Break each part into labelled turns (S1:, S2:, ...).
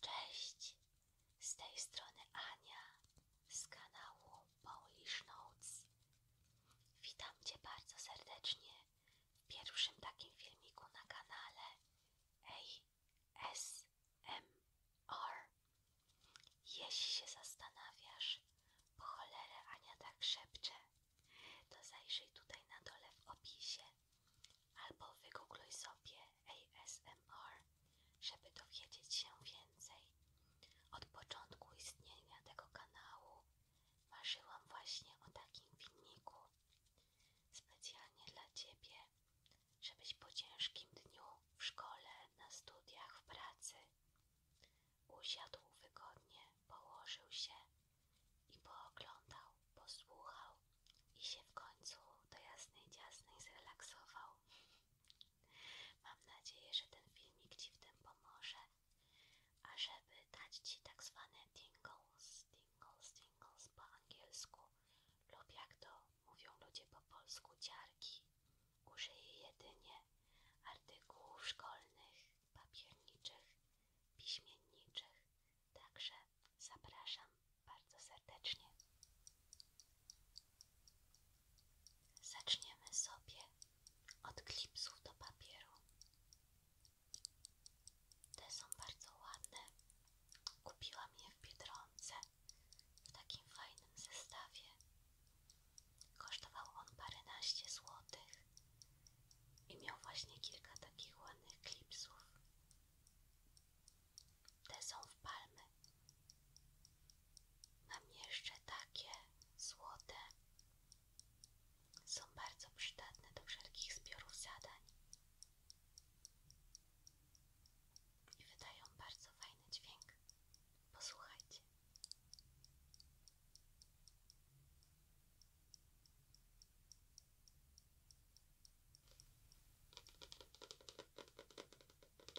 S1: Cześć, z tej strony Ania z kanału Polish Notes. Witam Cię bardzo serdecznie w pierwszym takim filmiku na kanale ASMR. Jeśli się zastanawiasz, po cholerę Ania tak szepcze, to zajrzyj tutaj na dole w opisie albo wygoogluj sobie ASMR, żeby dowiedzieć się więcej. Od początku istnienia tego kanału marzyłam właśnie o takim filmiku specjalnie dla Ciebie, żebyś po ciężkim dniu w szkole, na studiach, w pracy Usiadł wygodnie, położył się i pooglądał, posłuchał i się w końcu do jasnej ciasnej zrelaksował. Mam nadzieję, że ten filmik Ci w tym pomoże. A żeby dać Ci tak zwane tingles, tingles, tingles po angielsku lub jak to mówią ludzie po polsku, ciarki, użyję jedynie artykułów szkolnych, papierniczych, piśmienniczych, także zapraszam bardzo serdecznie. Zaczniemy sobie od klipsu do papieru. Te są bardzo ładne. Kupiłam je w Biedronce w takim fajnym zestawie. Kosztował on paręnaście złotych i miał właśnie kilka takich ładnych klipsów. Te są w palmy. Mam jeszcze takie złote. Są bardzo przydatne do wszelkich zbiorów zadań. I wydają bardzo fajny dźwięk. Posłuchajcie.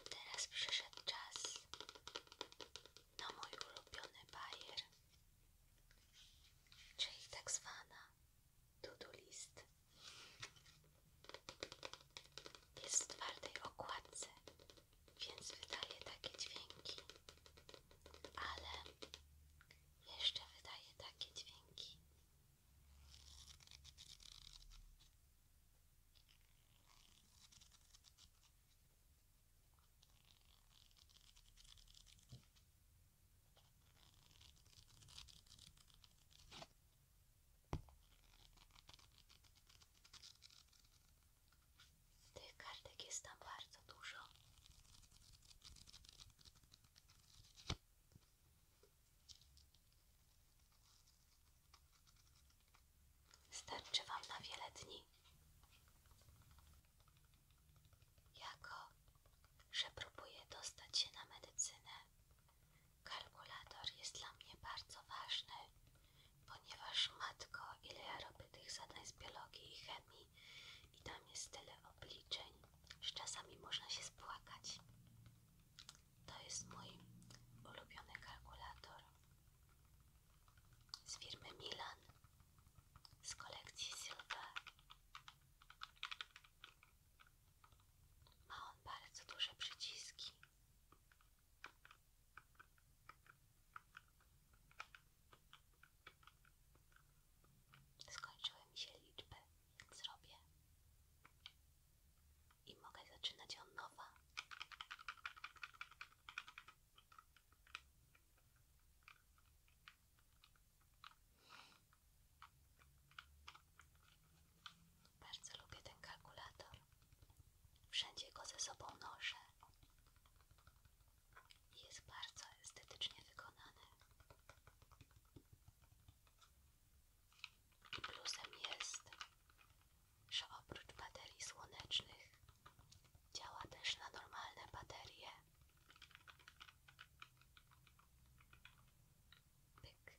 S1: Teraz przyszedł czas na mój ulubiony bajer, czyli tak zwana to-do list. Jest w więc wydaje takie dźwięki, ale jeszcze wydaje takie dźwięki. Tych kartek jest tam bardzo dużo. Starczy Wam na wiele dni. Jako, że próbuję dostać się na medycynę, kalkulator jest dla mnie bardzo ważny Ponieważ matko, ile ja robię tych zadań z biologii i chemii i tam jest tyle obliczeń, że czasami można się spłakać. To jest mój ulubiony kalkulator z firmy Milan, z kolekcji Silver. Ma on bardzo duże przyciski Skończyłem się liczby, więc zrobię i mogę zaczynać od nowa. Bardzo lubię ten kalkulator. Wszędzie go ze sobą noszę. Jest bardzo estetycznie wykonany. I plusem jest, że oprócz baterii słonecznych działa też na normalne baterie. Pyk,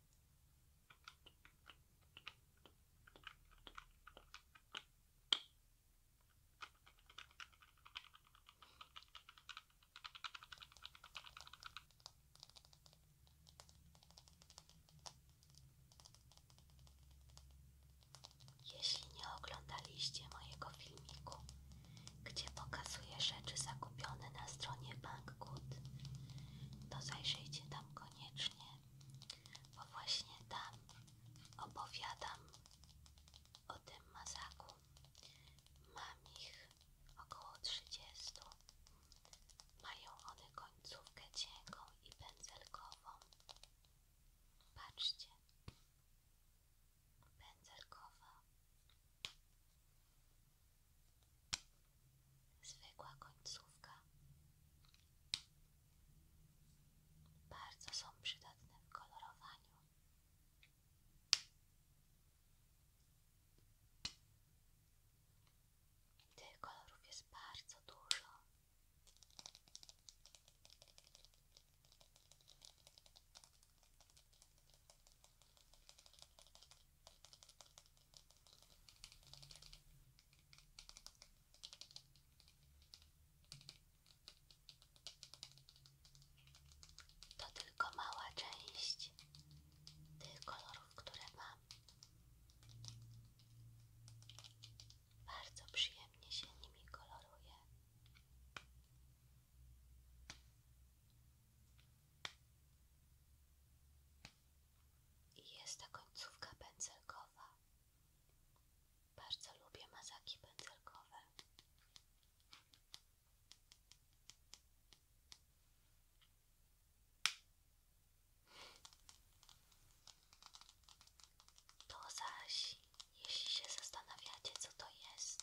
S1: jeśli nie oglądaliście mojego filmiku, gdzie pokazuję rzeczy zakupione na stronie Banggood, to zajrzyjcie tam koniecznie bo właśnie tam opowiadam o tym mazaku. Mam ich około 30. Mają one końcówkę cienką i pędzelkową. Patrzcie. Pędzelkowa. Zwykła końcówka. Bardzo są przydatne w kolorowaniu. Tych kolorów jest bardzo dużo. To tylko mała część tych kolorów, które mam. Bardzo przyjemnie się nimi koloruję I jest to końcówka pędzelkowa. Bardzo lubię mazaki pędzelkowe. To zaś, jeśli się zastanawiacie, co to jest,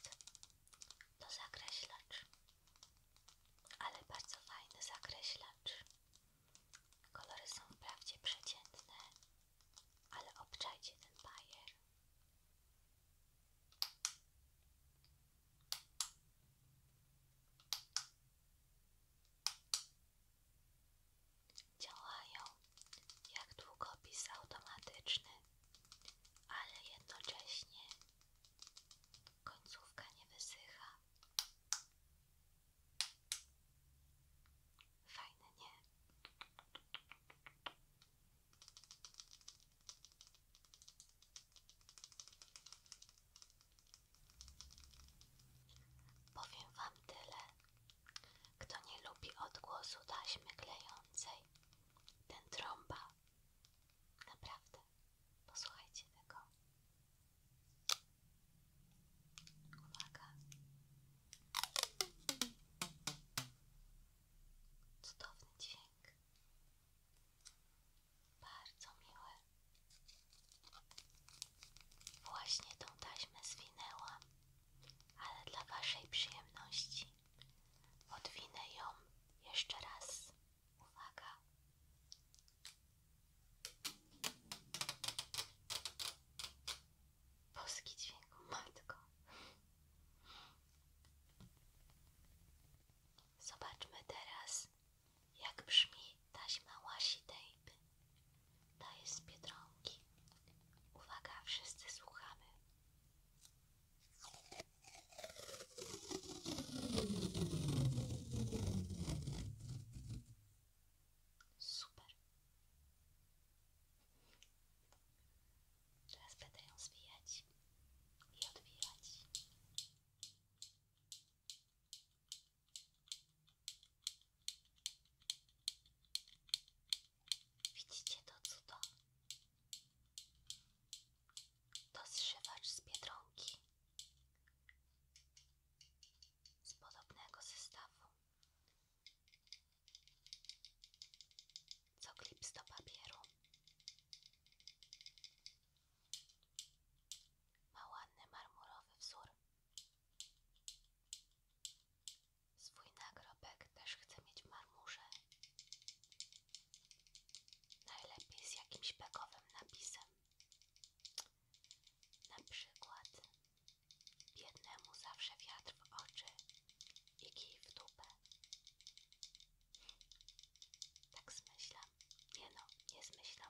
S1: to zakreślacz, ale bardzo fajny zakreślacz. Kolory są wprawdzie przeciętne, ale obczajcie ten bajer. Działają jak długopis automatyczny, ale jednocześnie końcówka nie wysycha. Fajne, nie? Powiem Wam tyle. Kto nie lubi odgłosu taśmy klejącej, ten trąba. Naprawdę. Posłuchajcie tego. Uwaga. Cudowny dźwięk. Bardzo miły. Właśnie tą taśmę zwinęłam, ale dla Waszej przyjemności odwinę ją jeszcze raz. Uwaga. Boski dźwięku, Zobaczmy teraz, jak brzmi taśma łasi tejpy. Ta jest z Uwaga, wszyscy słuchamy. Super. Teraz będę ją zwijać i odwijać. Widzicie to cudo? To zszywacz z Biedronki z podobnego zestawu co klips do papieru ma ładny marmurowy wzór swój nagrobek też chcę mieć w marmurze najlepiej z jakimś bekowym napisem na przykład biednemu zawsze wiatr w oczy i kij w dupę. Tak zmyślam. Nie no, nie zmyślam.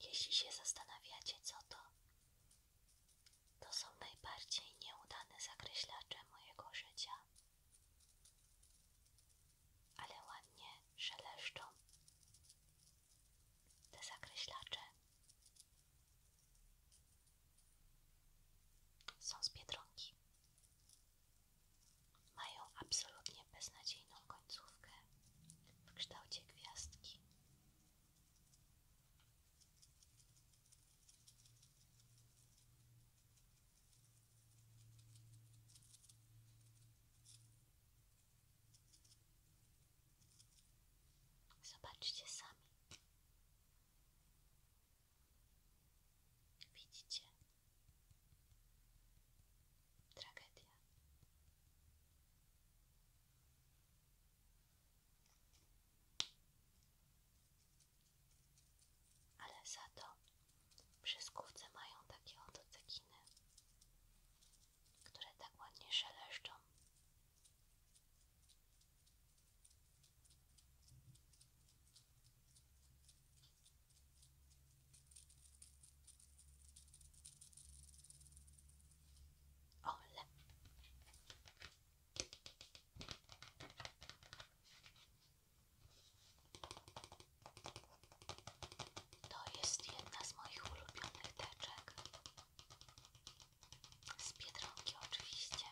S1: Jeśli się zastanawiacie, co to, to są najbardziej nieudane zakreślacze mojego życia, ale ładnie szeleszczą te zakreślacze. Są z Biedronki. Mają absolutnie beznadziejną końcówkę w kształcie gwiazdki. Zobaczcie sami. Widzicie, Tragedia. Ale za to przyskówce mają takie oto cekiny, które tak ładnie szeleszczą. Ole. To jest jedna z moich ulubionych teczek. Z Biedronki oczywiście.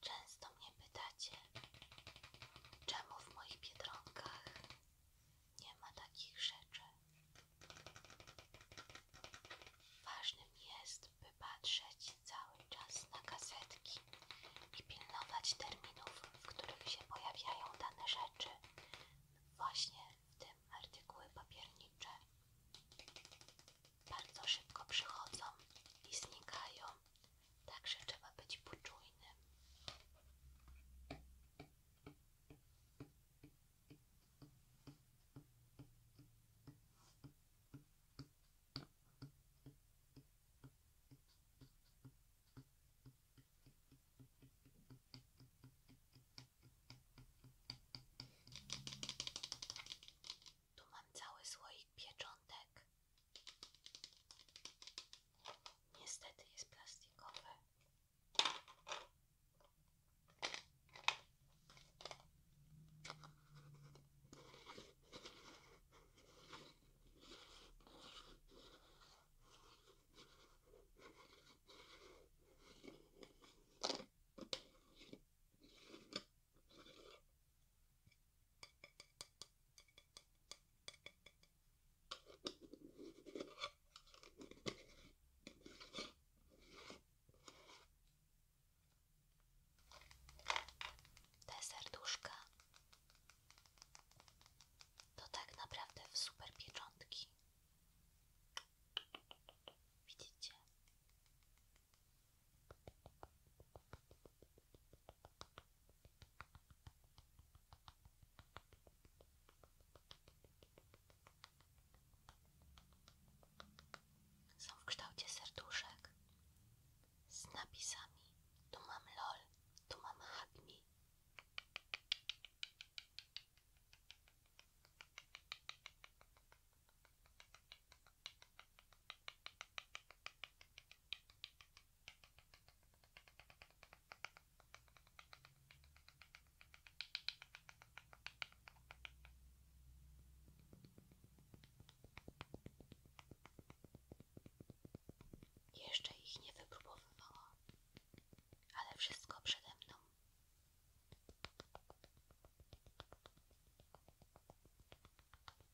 S1: Często mnie pytacie, czemu w moich biedronkach nie ma takich rzeczy. Ważnym jest, by patrzeć cały czas na kasetki i pilnować terminów, w których się pojawiają dane rzeczy, właśnie w tym artykuły papiernicze bardzo szybko przychodzą i znikają, także trzeba być poczujnym. Tu mam cały słoik pieczątek tak. Niestety jest plastikowy. Te serduszka to tak naprawdę super pieczątki. Widzicie? Są w kształcie serduszek z napisami tu mam LOL, tu mam HAGMI. Jeszcze ich nie wypróbowywałam, ale wszystko przede mną.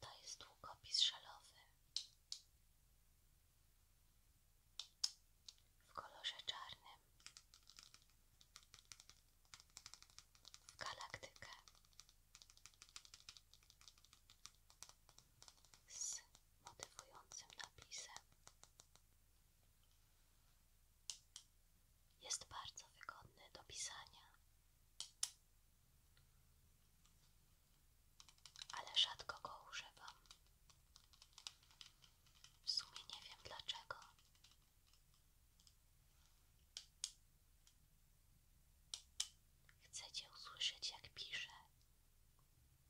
S1: To jest długopis szalowy w kolorze czarnym w galaktykę z motywującym napisem jest bardzo wygodny do pisania, ale rzadko go używam. W sumie nie wiem dlaczego. Chcecie usłyszeć, jak piszę?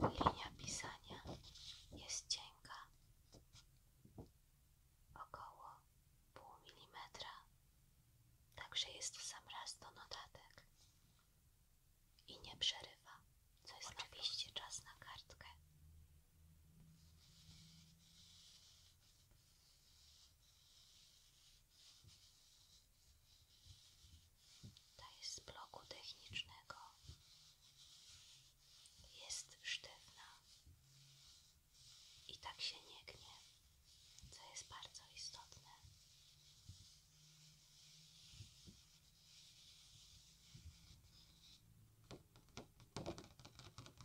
S1: Linia pisania jest cienka, około pół milimetra, także jest w sam raz do notatek i nie przerywa, co jest oczywiście czas na kartkę ta jest z bloku technicznego. Jest sztywna i tak się nie gnie, co jest bardzo istotne.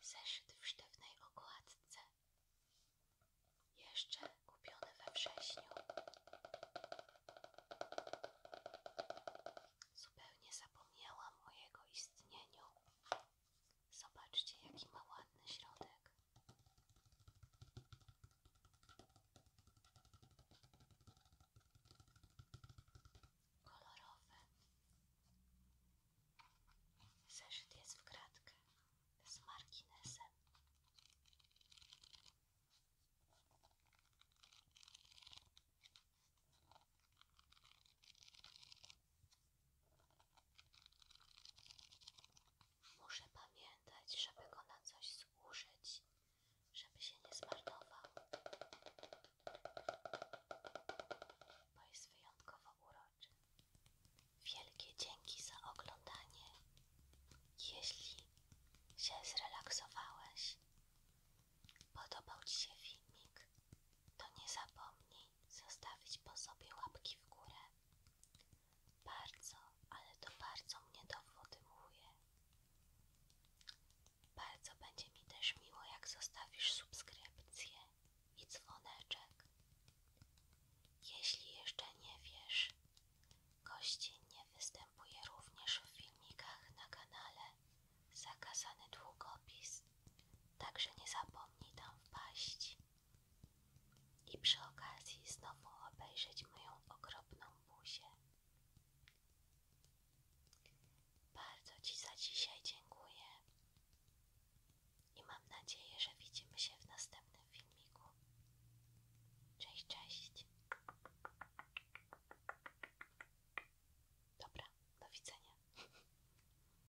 S1: Zeszyt w sztywnej okładce, jeszcze kupiony we wrześniu, zupełnie zapomniałam o jego istnieniu. Zobaczcie, jaki ma ładny środek. Kolorowy. Zeszyt jest w kratkę z marginesem. Muszę pamiętać, żeby go na coś zużyć, żeby się nie zmarnował, bo jest wyjątkowo uroczy. Wielkie dzięki za oglądanie. Jeśli się zrelaksowałeś, podobał Ci się filmik, to nie zapomnij zostawić po sobie łapki w górę. Bardzo, ale to bardzo mnie dowodymuje. Bardzo będzie mi też miło, jak zostawisz subskrypcję i dzwoneczek. Jeśli jeszcze nie wiesz, nie występuje również w filmikach na kanale Zakazany Długopis, także nie zapomnij tam wpaść i przy okazji znowu obejrzeć moją okropną buzię. Bardzo Ci za dzisiaj dziękuję i mam nadzieję, że widzimy się w następnym filmiku. Cześć, cześć. Dobra, do widzenia.